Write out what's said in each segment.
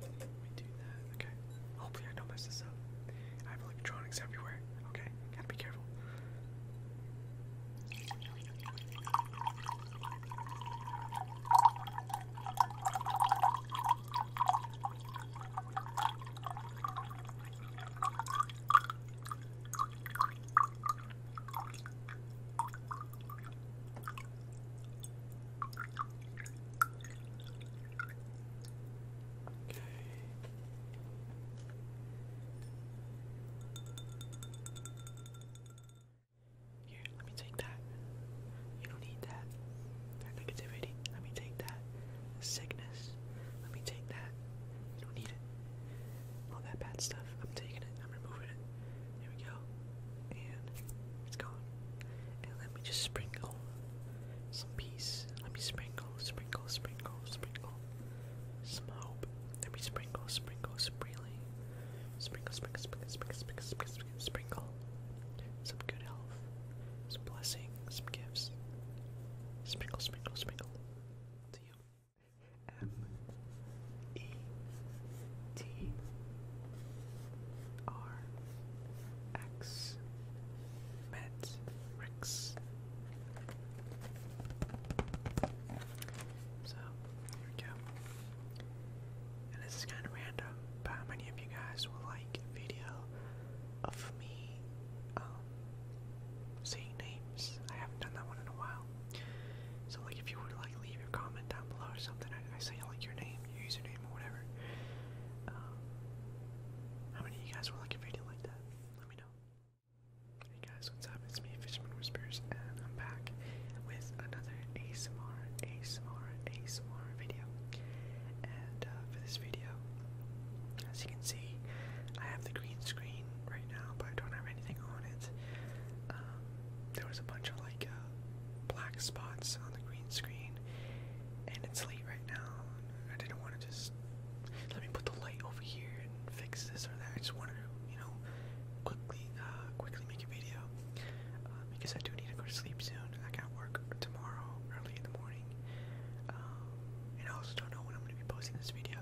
Let me do that. Okay. Hopefully I don't mess this up. I have electronics everywhere. Okay, gotta be careful. Okay. Here, let me take that. You don't need that. That negativity. Let me take that. Sickness. Let me take that. You don't need it all that bad stuff. I'm taking it, I'm removing it. There we go. And it's gone. And let me just sprinkle some peace. Let me sprinkle, sprinkle, sprinkle, sprinkle. Some hope. Let me sprinkle, sprinkle, sprinkly. Sprinkle, sprinkle, sprinkle, sprinkle, sprinkle, sprinkle, Some good health. Some blessing. Some gifts. Sprinkle, sprinkle, sprinkle. To you. M E T R X So here we go. And this is kind of random, but how many of you guys will like video of me um, I haven't done that one in a while. So like if you would like leave your comment down below or something, I, I say like your name, your username or whatever. Um, how many of you guys would like a video like that? Let me know. Hey guys, what's up? It's me, Fishman Whispers, and I'm back with another ASMR, ASMR, ASMR video. And uh, for this video, as you can see, I have the green screen right now, but I don't have anything on it. Um, there was a bunch of like uh, black spots on the green screen, and it's late right now. I didn't want to just let me put the light over here and fix this or that. I just wanted you know, quickly, uh, quickly make a video uh, because I do need to go to sleep soon. I got work tomorrow early in the morning, um, and I also don't know when I'm going to be posting this video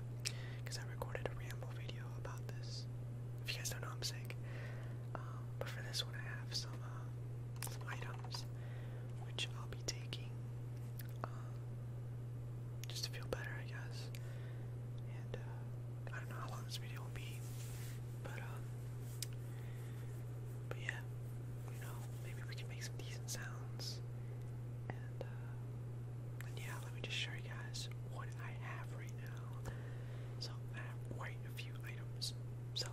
because I recorded a ramble video about this. If you guys don't know, I'm sick. Um, but for this one, I have some, uh, items which I'll be taking um, just to feel better, I guess. And uh, I don't know how long this video will be, but um, but yeah, you know, maybe we can make some decent sounds. Uh, yeah, let me just show you guys what I have right now. So I have quite a few items. So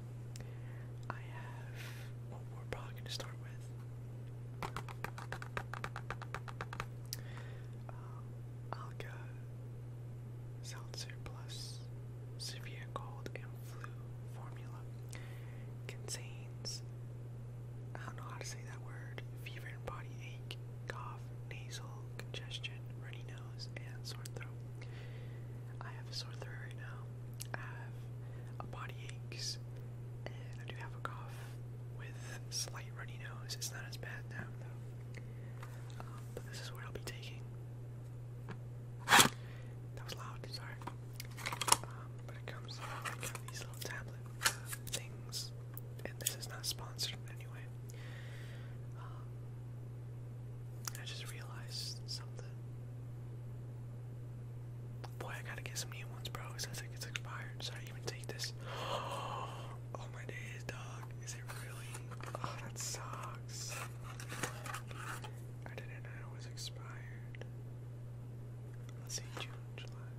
I have what well, we're probably gonna start with. Um, uh, Alka, Seltzer Plus, Severe Cold and Flu Formula contains, I don't know how to say that word, fever and body ache, cough, nasal congestion, runny nose, and sore throat. I have a sore throat right now. I have a body aches, and I do have a cough with slight runny nose. It's not as bad now though. Um, but this is what I'll be taking. That was loud. Sorry. Um, but it comes. I got these little tablet uh, things and this is not sponsored anyway. Um, I just realized something. Boy, I gotta get some new ones, bro. Cause I think expired. Should I even take this? Oh my days, dog. Is it really? Oh, that sucks. I didn't know it was expired. Let's see, June July.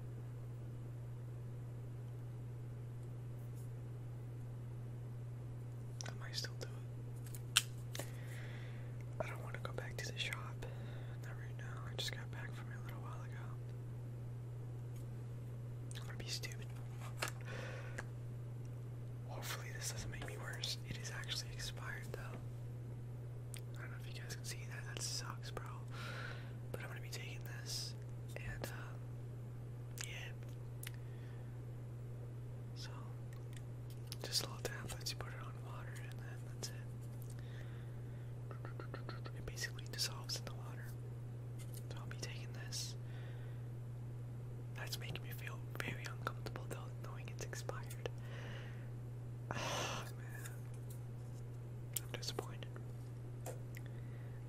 I might still do it. I don't want to go back to the shop. Not right now. I just got back from a little while ago. I'm gonna be stupid. Hopefully this doesn't make me worse. It is actually expired though. I don't know if you guys can see that. That sucks, bro. But I'm gonna be taking this and uh, yeah. So, just little tablets, you put it on water, and then that's it. It basically dissolves in the water. I'll be taking this. That's making me feel very uncomfortable though, knowing it's expired. Oh, man. I'm disappointed.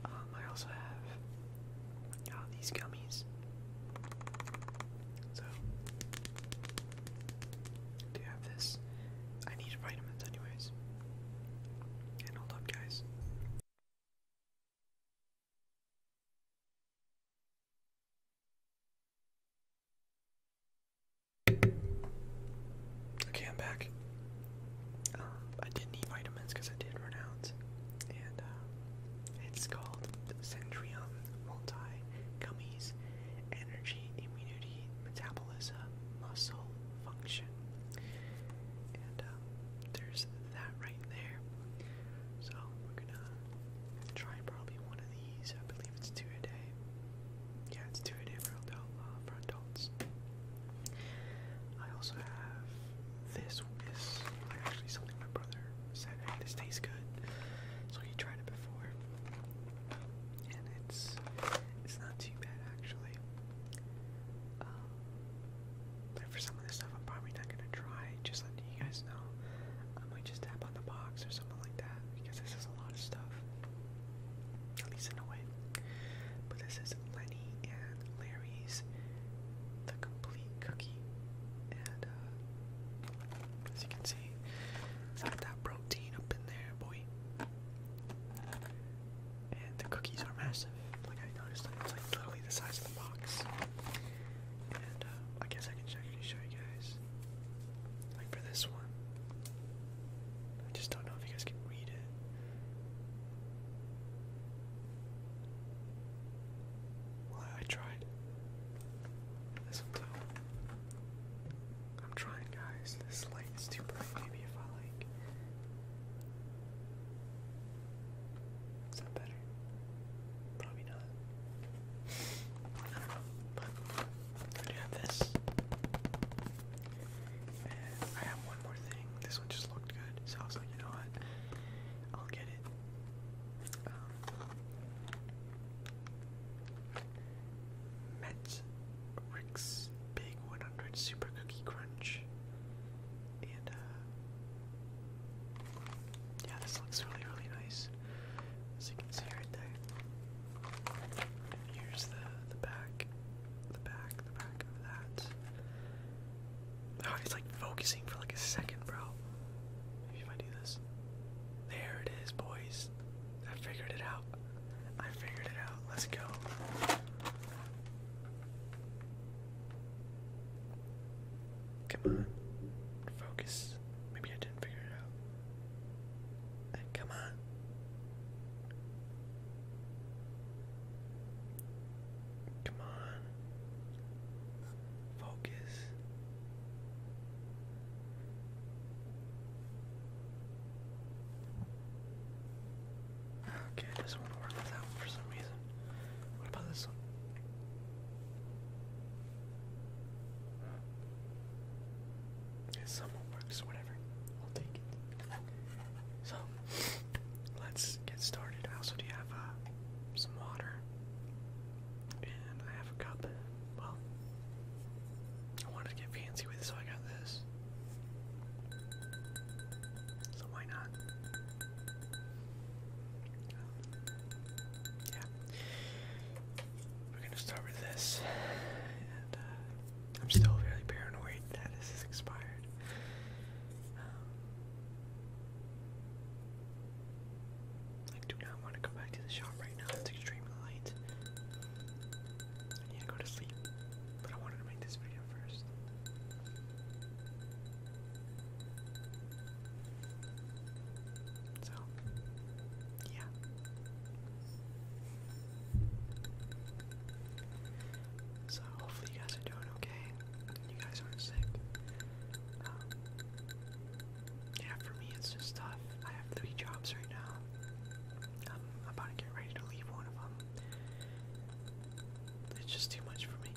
Um, I also have uh, these gummies. So, do you have this? I need vitamins, anyways. And hold up, guys. Okay, I'm back. Um, I did not need vitamins because I did run out, and uh, it's called Centrium Multi Gummies Energy, Immunity, Metabolism, Muscle Function. And um, there's that right there. So we're gonna try probably one of these. I believe it's two a day. Yeah, it's two a day for adult uh, I also have this. This like actually something my brother said. Hey, this tastes good, so he tried it before, and it's it's not too bad actually. Um, but for some of this stuff, I'm probably not gonna try. Just letting you guys know, I might just tap on the box or something like that because this is a lot of stuff at least in a way. But this is Lenny and Larry's The Complete Cookie. And uh, as you can see, it's got that protein up in there, boy. And the cookies are massive. Like I noticed, that it's like literally the size of the box. And uh, I guess I can actually show you guys. Like for this one, I just don't know if you guys can read it. I tried. This I'm trying, guys. This light is too bright. Maybe if I like. Is that better? Probably not. I do have this. I have one more thing. This one just looked good, so I was like, you know what? I'll get it. Um, Mets Rick's Big 100 Super Cookie Crunch. And, uh, yeah, this looks really, really nice. As you can see right there. here's the, the back the back, the back of that. Oh, he's like focusing for like a second, bro. Maybe if I do this. There it is, boys. I figured it out. I figured it out. Let's go. Come on. Focus. Maybe I didn't figure it out. come on. Come on. Focus. Okay, it does want to work with that for some reason. What about this one? It somewhat works, whatever. So, let's get started. I also do have uh, some water. And I have a cup. Well, I wanted to get fancy with so I got this. So, why not? Yeah. We're gonna start with this. Uh, I'm still very paranoid that this is expired. Um, I do not want to go back to the shop right now. It's extremely late. I need to go to sleep, but I wanted to make this video first. So, yeah. So hopefully you guys are doing okay. You guys aren't sick. Um, yeah, for me it's just tough. I have three jobs right now. I'm about to get ready to leave one of them. It's just too much for me.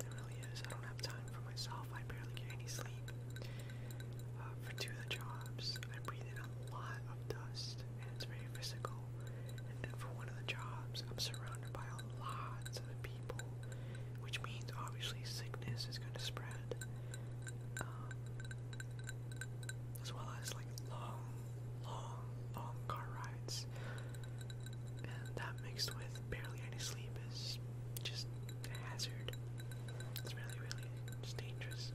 It really is. I don't have time for myself. I barely get any sleep. Uh, for two of the jobs, I breathe in a lot of dust, and it's very physical. And then for one of the jobs, I'm surrounded by a lot of people, which means obviously sickness is going to spread, um, as well as like long, long, long car rides. And that mixed with barely any sleep is just a hazard. It's really, really just dangerous.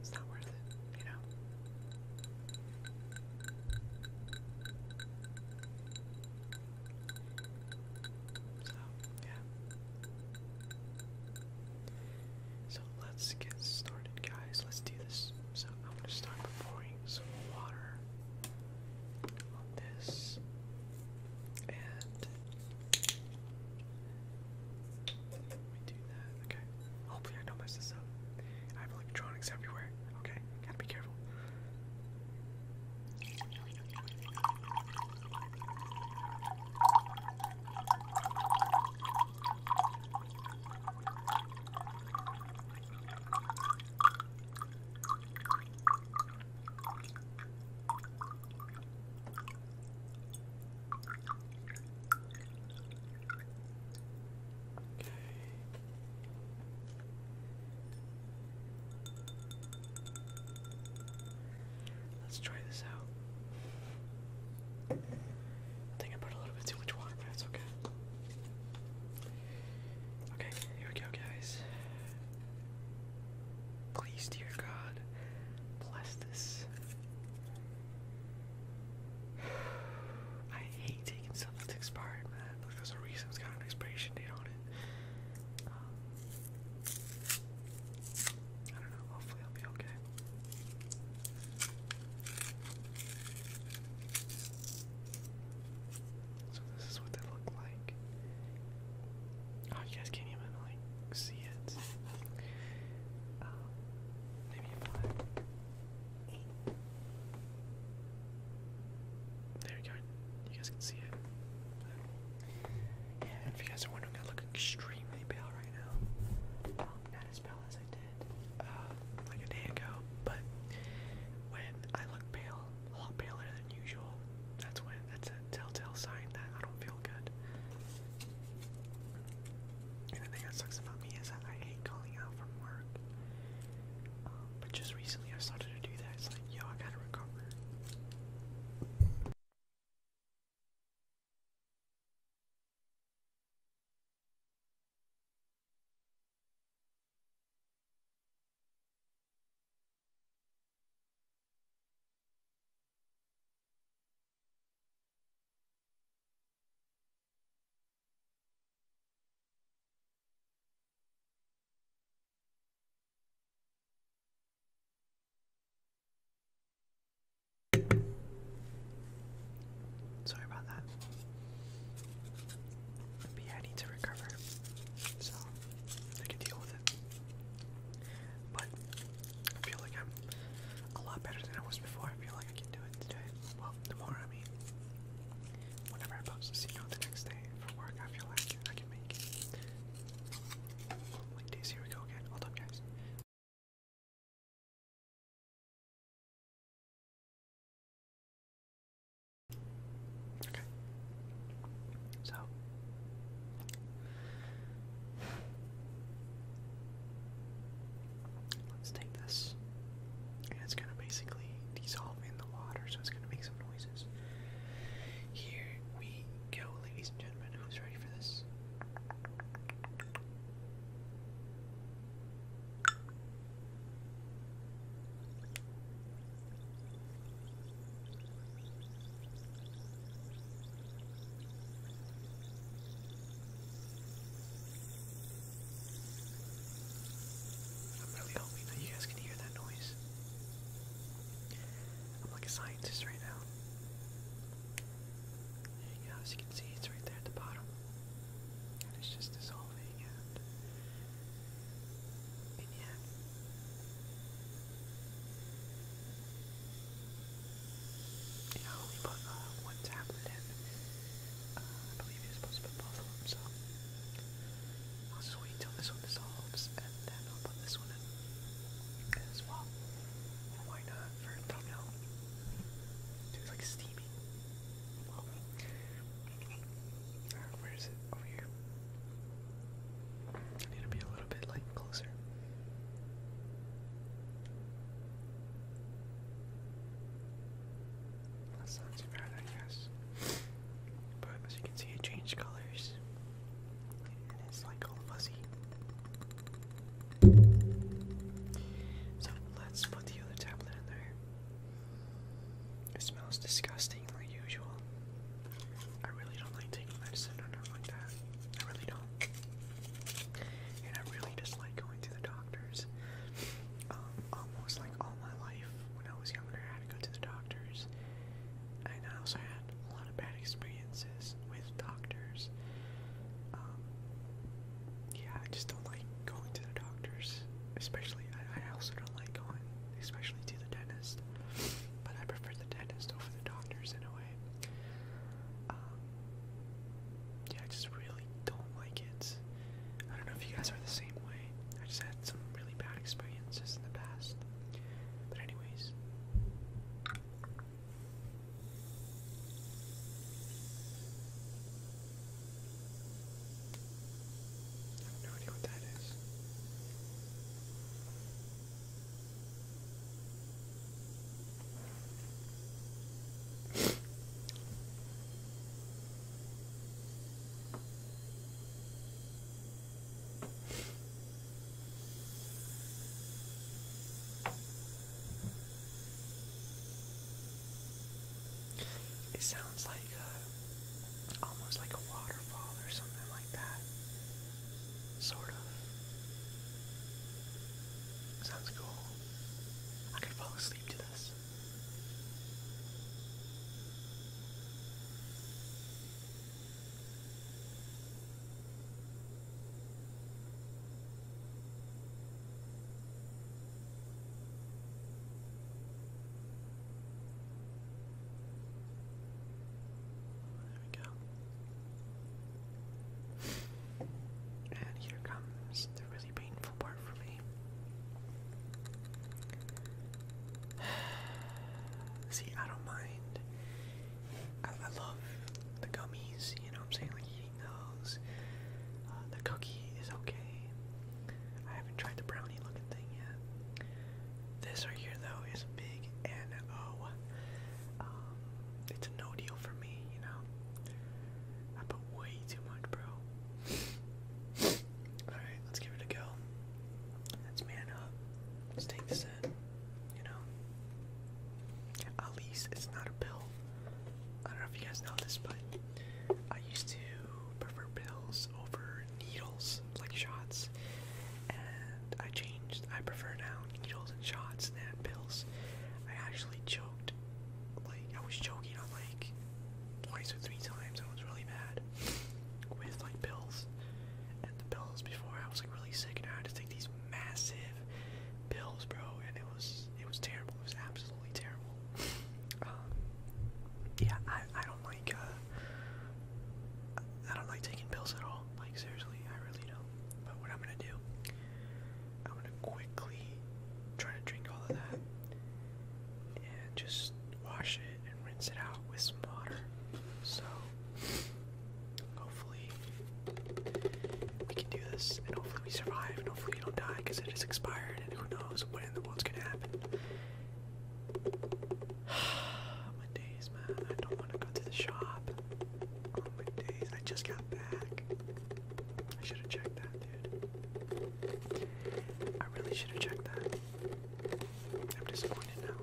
It's not worth it you So, yeah. So let's get started, guys. Let's do this. So, I'm going to start by pouring some water on this. And. Okay. Hopefully I don't mess this up. I have electronics everywhere. Okay. Gotta be careful. Okay. Let's try this out. think I put a little bit too much water, but it's okay. Okay, here we go, guys. Please, dear God, bless this. I hate taking stuff that's expired, man, but there's reason it's got an expiration date on it. Um, I don't know, hopefully I'll be okay. So this is what they look like. Oh, you guys can't even like see it. Um, maybe if I there we go. You guys can see it. if you guys are wondering, I look extremely pale right now. Um, not as pale as I did uh, like a day ago, but when I look pale, a lot paler than usual, that's when that's a telltale sign that I don't feel good. And the thing that sucks about me is that I hate calling out from work. Um, but just recently I started to do that. It's like, yo, I gotta recover. Sorry about that. But yeah, I need to recover, so I can deal with it. But I feel like I'm a lot better than I was before. I feel like I can do it today. Well, tomorrow, I mean. Whenever I post this, you the next day for work, I feel like I can make it. Like days, here we go again. Hold up, guys. Okay. So. Let's take this. And it's gonna basically dissolve in the water, so it's gonna make some noises. Here we go, ladies and gentlemen. Who's ready for this? I'm really hoping that you guys can hear that noise. I'm like a scientist right now. There as you can see, it's right there at the bottom. And it's just dissolving and... And yeah. we put uh, one tablet I believe you're supposed to put both of them, so I'll just wait till this one dissolves, and then I'll put this one in as well. why not for a thumbnail? Dude, it's like steamy. Uh, where is it? Over here. I need to be a little bit like closer. That sounds too bad, I guess. But as you can see, it changed colors. And it's like all fuzzy. So let's put the other tablet in there. It smells disgusting like usual. I really don't like taking medicine or nothing like I really don't. And I really dislike going to the doctor doctors. Um, almost like all my life when I was younger, I had to go to the doctors. And I also had a lot of bad experiences with doctors. Um, yeah, I just don't like going to the doctors. Especially, I, I also don't like going, especially to the dentist. But I prefer the dentist over the doctors in a way. Um, yeah, I just really don't like it. I don't know if you guys are the same way. I just had some really bad experiences in the past. But anyways. no idea what that is. It sounds like a, uh, almost like a waterfall or something like that. Sort of. Sounds cool. I could fall asleep to this. There we go. And here comes the really painful part for me. See, I don't mind. I, love the gummies, you know what I'm saying? Like eating those. Uh, the cookie is okay. I haven't tried the brownie looking thing yet. This right here, though, is big N-O. Um, it's a no deal for me, you know? I put way too much, bro. Alright, let's give it a go. Let's man up. Let's take this in. You know? At least it's not a pill. I don't know if you guys know this, but I used to prefer pills over needles, like shots. And I changed. I prefer now needles and shots than pills. I actually choked. Like, I was choking on, like, twice or three times. I was really bad. with like pills, and the pills before I was like really sick, and I had to take these massive pills, bro, and it was it was terrible. It was absolutely terrible. Um, yeah, I I don't like uh, I don't like taking pills at all. Like seriously, I really don't. But what I'm gonna do, I'm gonna quickly trying to drink all of that and just wash it and rinse it out with some water. So hopefully we can do this and hopefully we survive and hopefully we don't die because it is expired and who knows what the world's gonna happen. my days, man. I don't want to go to the shop. Oh, my days. I just got back. I should have checked that. I really should have checked that. I'm disappointed now.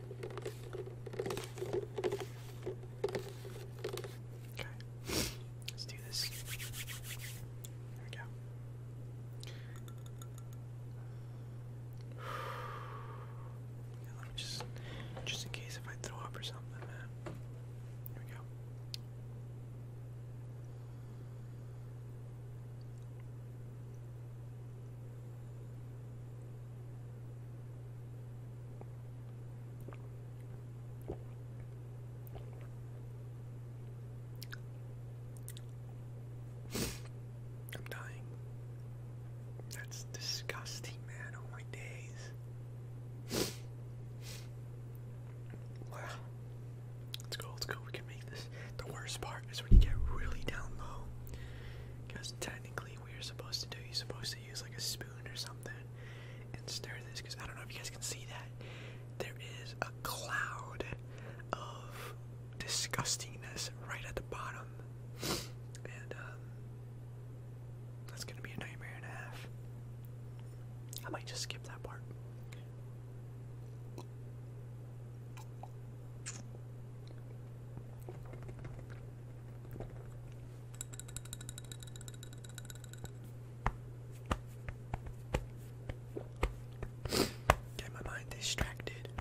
Okay, let's do this. There we go. let me just, just in case if I throw up or something, man. Here we go. I'm dying. That's disgusting, man. Oh my days. Wow. Let's go, let We can make this. The worst part is when you get really down low. Because technically, we are supposed to do, you're supposed to use like a spoon or something and stir this. Because I don't know if you guys can see that. There is a cloud of disgustingness right at the bottom. And, um, That's gonna be a nightmare half. I might just skip that part. Get my mind distracted.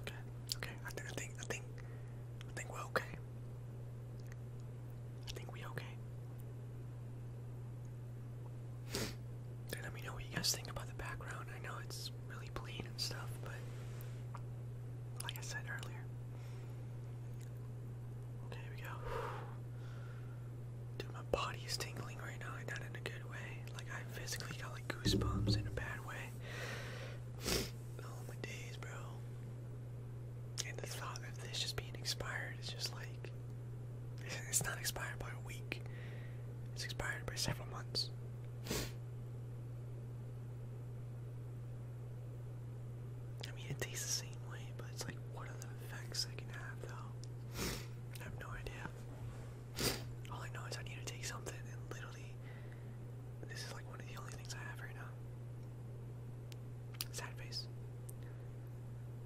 Okay, okay. I, th I think I think think we're okay. I think we okay. let me know what you guys think about the background. I know it's really plain and stuff, but like I said earlier. here we go. Dude, my body is tingling right now, like not in a good way. Like I physically got like goosebumps in a bad way. oh my days, bro. And the thought of this just being expired is just like it's not expired by a week. It's expired by several months. I mean, it tastes the same way, but it's like, what are the effects it can have, though? I have no idea. All I know is I need to take something and literally this is like one of the only things I have right now. Sad face.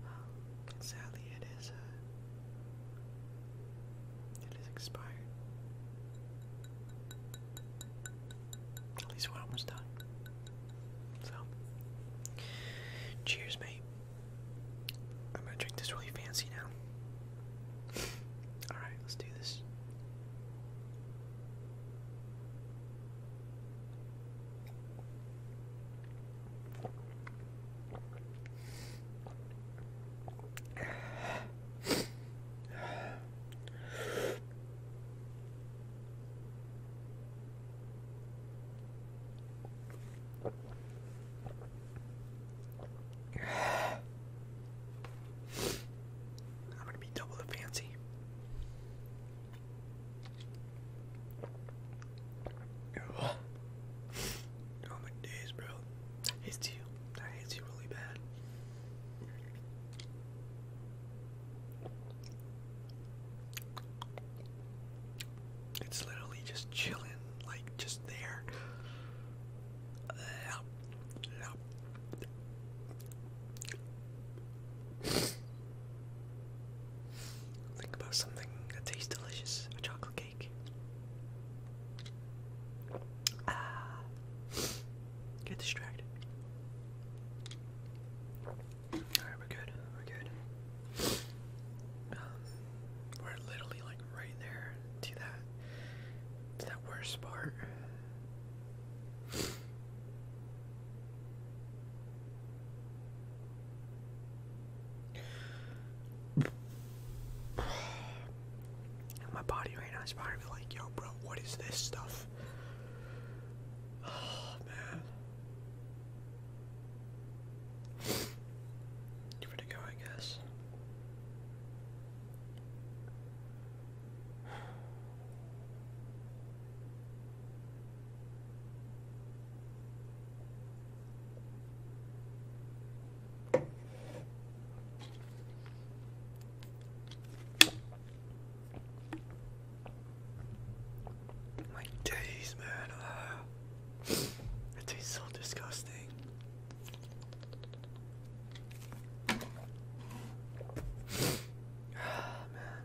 Um, sadly it is uh, it is expired. At least one almost done. So cheers mate. I'm gonna drink this really fancy now. Alright, let's do this. I'm gonna be double the fancy. Oh my days, bro. That hits you. That hits you really bad. It's literally just chilling, like just there. Uh, Think about something that tastes delicious, a chocolate cake. Ah, get distracted we're good. We're good. Um, we're literally like right there to that to that worst part. My body right now is probably like, yo, bro, what is this stuff? Oh man. Give it a go, I guess. My days, man. Ah. It tastes so disgusting. Ah, man.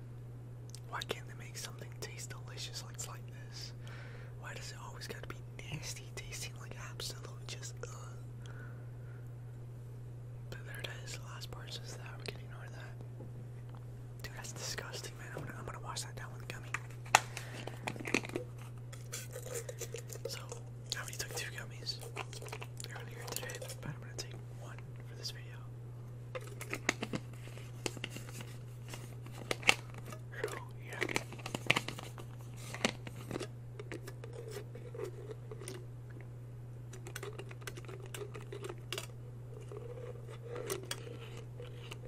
Why can't they make something taste delicious like, this? Why does it always gotta be nasty, tasting like absolute just But there it is, the last part is that we can ignore that. Dude, that's disgusting, man. I'm gonna, I'm gonna wash that down with gummy. So, I already took two gummies earlier today, but I'm gonna take one for this video. So, yeah.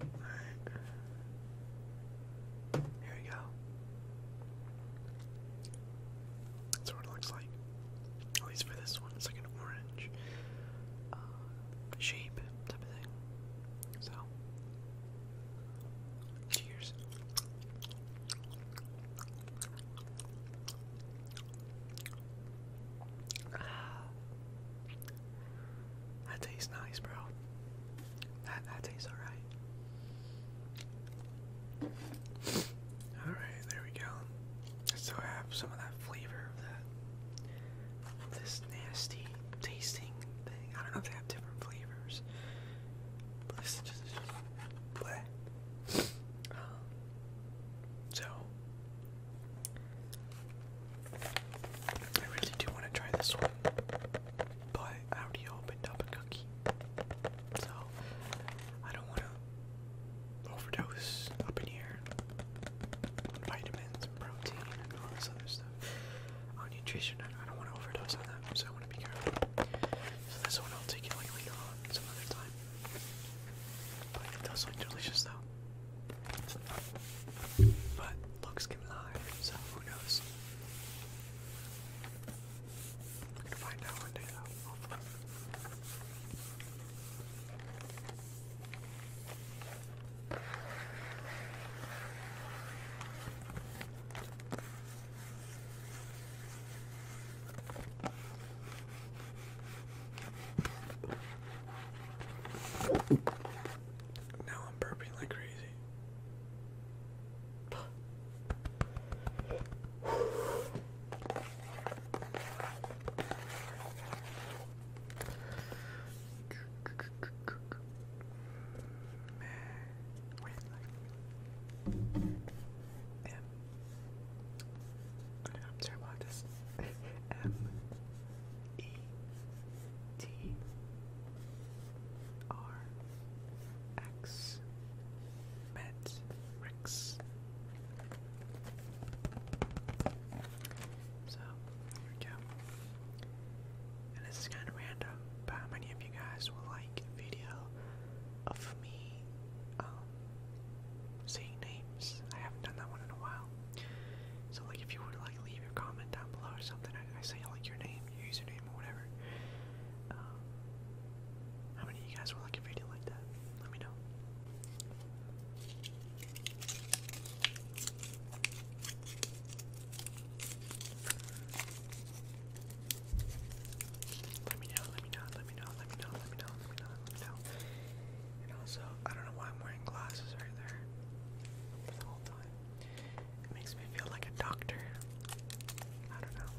Right. Here we go. That's what looks like. At least for this one, it's like an orange uh, shape type of thing. So, cheers. Ah. That tastes nice, bro. That that tastes alright. Alright, there we go. I have some of that flavor of that this nasty tasting thing. I don't know if they have different flavors. But this just, just um, so I really do want to try this one, but I already opened up a cookie, so I don't want to overdose up in here vitamins protein and all this other stuff. On oh, nutrition, I don't want to overdose on that, so I want to be careful. So this one I'll take it like on, some other time. But it does look delicious though. But looks can lie, so who knows? We're gonna find out one day though, Now I'm burping like crazy. M. I M. E. T. R X Met Rex. So here we go. And this is kind of random, but how many of you guys will like a video of me um, saying names? I haven't done that one in a while. So like, if you were to like leave your comment down below or something, I, I say like your name username or whatever. Um, how many you guys would like a video like that? Let me know. Let me know, let me know, let me know, let me know, let me know, let me know, And also, I don't know why I'm wearing glasses right there the time. It makes me feel like a doctor. I don't know.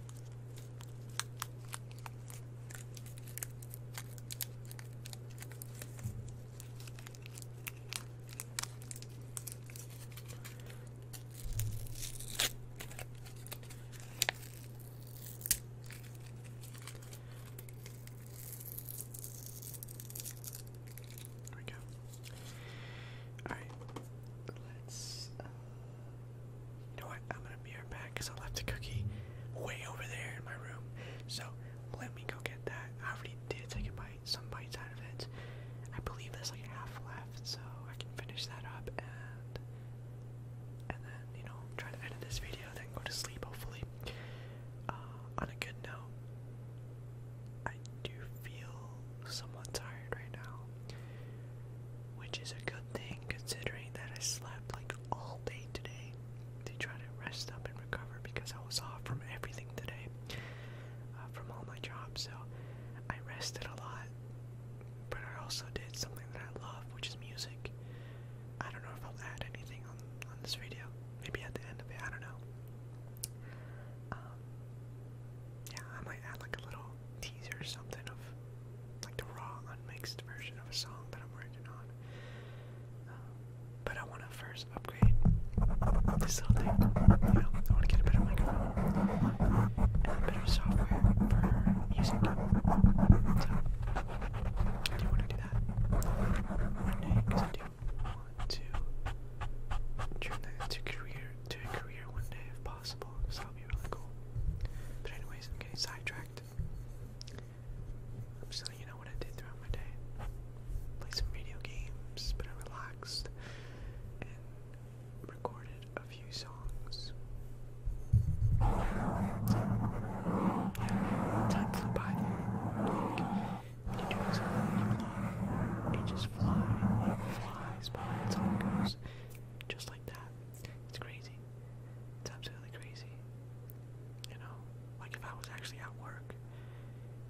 There we go. Alright, let's. Uh, you know what? I'm gonna be right back I left a cookie way over there in my room. So let me go get that. I already did take a bite, some bites out of it. I believe there's like half left, so I can finish that up and and then you know try to edit this video, then go to sleep hopefully. Uh, on a good note, I do feel somewhat tired right now, which is a good thing considering that I slept like all day today to try to rest up and recover because I was off from everything today, uh, from all my jobs. So I rested a lot, but I also did something that I love, which is music. I don't know if I'll add anything on on this video. Maybe at the end of it, I don't know. Um, yeah, I might add like a little teaser something of like the raw, unmixed version of a song that I'm working on. Um, but I want to first upgrade this little thing. I want to get a better microphone and better software for music. So, I want to do that want to turn that into career to a career one day if possible, So that will be really cool. But anyways, I'm getting sidetracked. i you know what I did throughout my day. Play some video games, but I relaxed and recorded a few songs. time flew by it just flies, it flies by, it's all just like that. It's crazy. It's absolutely crazy. You know, like if I was actually at work,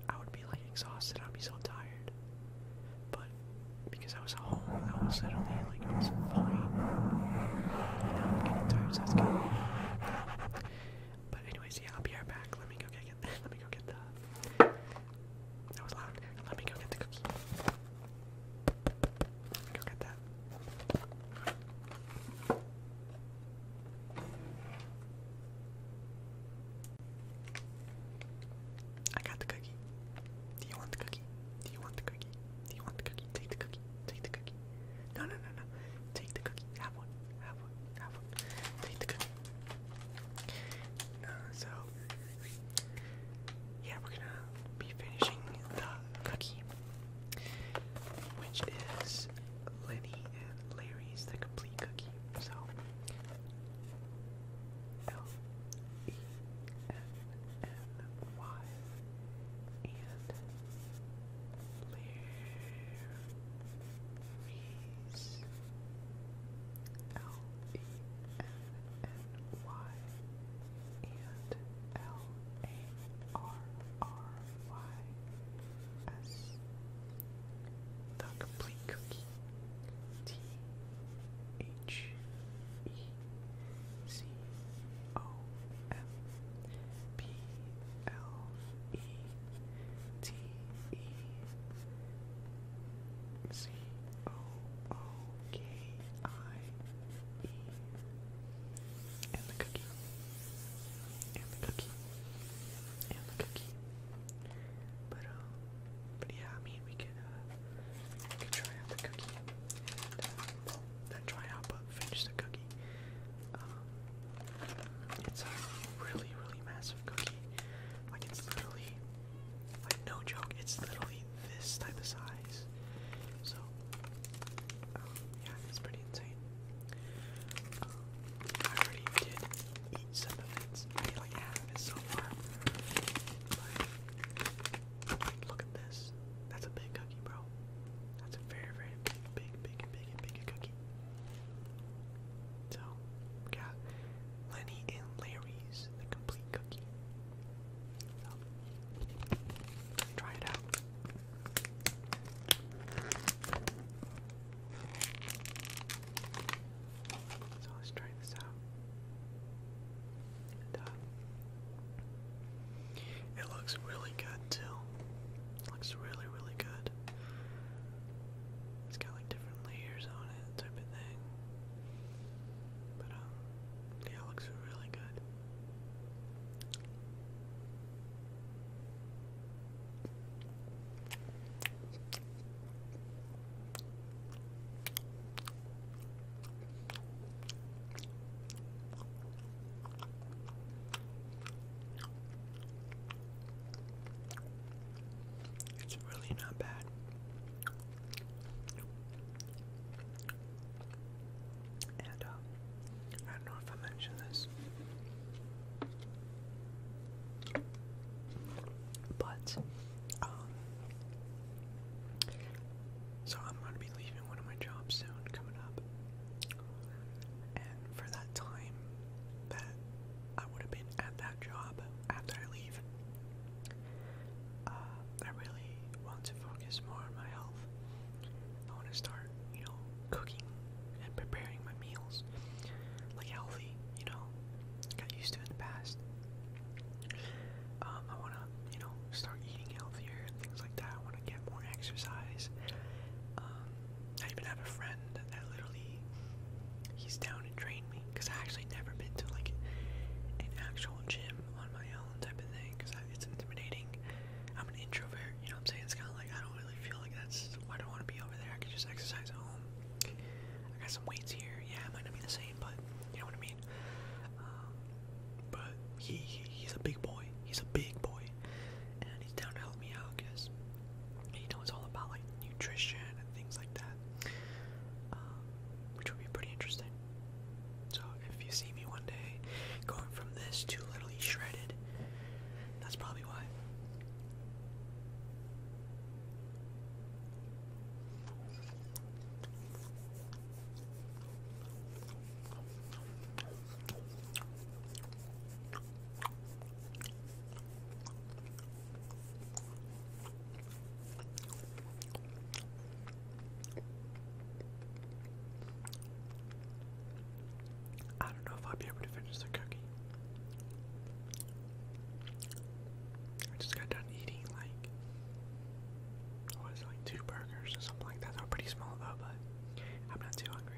I would be like exhausted, I'd be so tired. But because I was home, I was literally like it was fine. You know, getting tired, so good. But anyways, yeah, I'll be right back. Let me go get I let me go get the that was loud. Let me go get the cookie. go get that. I got the cookie. Do you want the cookie? Do you want the cookie? Do you want the cookie? Take the cookie. Take the cookie. No, no, no, no. Take the cookie. Have one. Have one. Have one. Take the cookie. Uh, so, yeah, we're gonna be finishing the cookie, which is Lenny and Larry's The Complete Cookie. So, L E N N Y and Larry's L E N N Y and L A R R Y S. The complete cookie. T H E C O M P L E T E C O O K I E. And the cookie. And the cookie. And the cookie. But um, but yeah, I mean, we could uh, try out the cookie then uh, try out but finish the cookie. Um, it's a really really massive cookie. Like it's literally like no joke, it's literally this type of size. So um, yeah, it's pretty insane. Um, I already did eat some of it. I ate like half of it so far. But look at this. That's a big cookie, bro. That's a very, very big, big, big, big, big cookie. So we Lenny and Larry's the complete cookie. So try it out. So let's try this out. Uh, it looks really good too. looks really, really good. It's got like different layers on it that type of thing. But um, yeah, it looks really good. It's really not bad. And, uh, I don't know if I mentioned this, but, um, so I'm going to be leaving one of my jobs soon coming up. And for that time that I would have been at that job after I leave. Uh, I really want to focus more on my health. I want to start, you know, cooking and preparing my meals like healthy, you know, got used to in the past. Um, I want to, you know, start eating healthier and things like that. I want to get more exercise. Um, I even have a friend that literally he's down and trained me because I actually never been to like an actual gym on my own type of thing because it's intimidating. I'm an introvert, you know what I'm saying? It's kind of like I don't really feel like that's why I don't want to be over there. I can just exercise at home. I got some weights here. Yeah, it might not be the same, but you know what I mean. Um, but he, he's a big boy. He's a big boy, and he's down to help me out. I guess you know, all about like nutrition and things like that, um, which would be pretty interesting. So if you see me one day going from this to literally shredded, that's probably why. I don't know if I'll be able to finish the cookie. I just got done eating like what was like two burgers or something like that. They're pretty small though, but I'm not too hungry.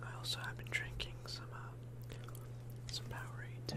I also have been drinking some uh, some Powerade too.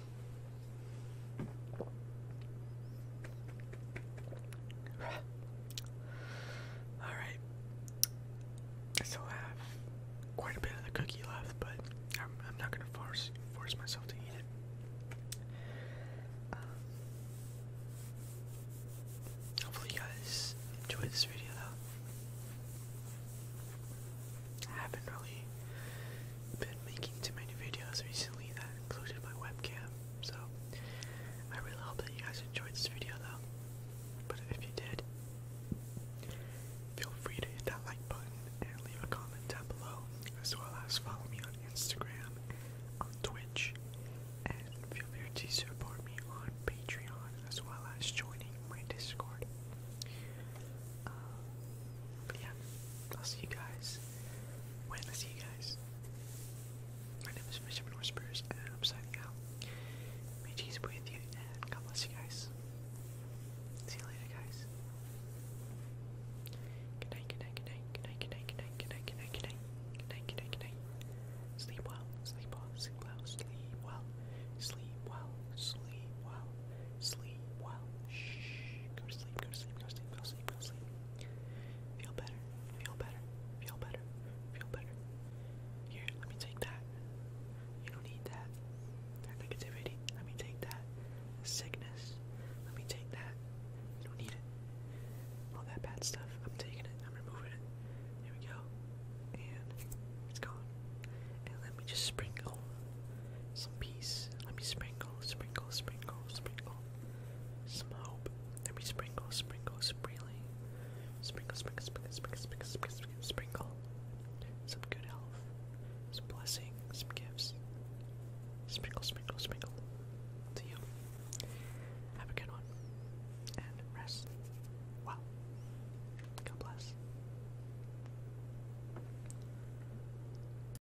Alright. I still have quite a bit of the cookie left, but I'm, not gonna force force myself to eat it. Um, hopefully you guys enjoyed this video though. I haven't really been making too many videos recently that included my webcam, so I really hope that you guys enjoyed this video though. But if you did, feel free to hit that like button and leave a comment down below, as well as follow me on Instagram, on Twitch, and feel free to support me on Patreon, as well as joining my Discord. Uh, but yeah, I'll see you guys when I see you guys. My name is Mr. North I'm signing out. May Jesus be with you, and God bless you guys. See you later, guys. Good night, good night, good night, good night, good night, good night, good night, good night, good night, good night, good night, sleep well, sleep well, sleep well, sleep well, sleep well, sleep well. Shh. Go to sleep, go to sleep, go to sleep, go to sleep fall asleep. Feel better, feel better, feel better, feel better. Here, let me take that. You don't need that. That negativity, let me take that. Sickness, let me take that. You don't need it. All that bad stuff, I'm taking it, I'm removing it. There we go. And it's gone. And let me just sprinkle some peace please. Let me sprinkle, sprinkle, sprinkle, sprinkle. Smoke. Let me sprinkle, sprinkle, sprinkling. Sprinkle, sprinkle, sprinkle, sprinkle, sprinkle, sprinkle, sprinkle. Some good health. Some blessing. Some gifts. Sprinkle, sprinkle, sprinkle. To you. Have a good one. And rest. Wow. God bless.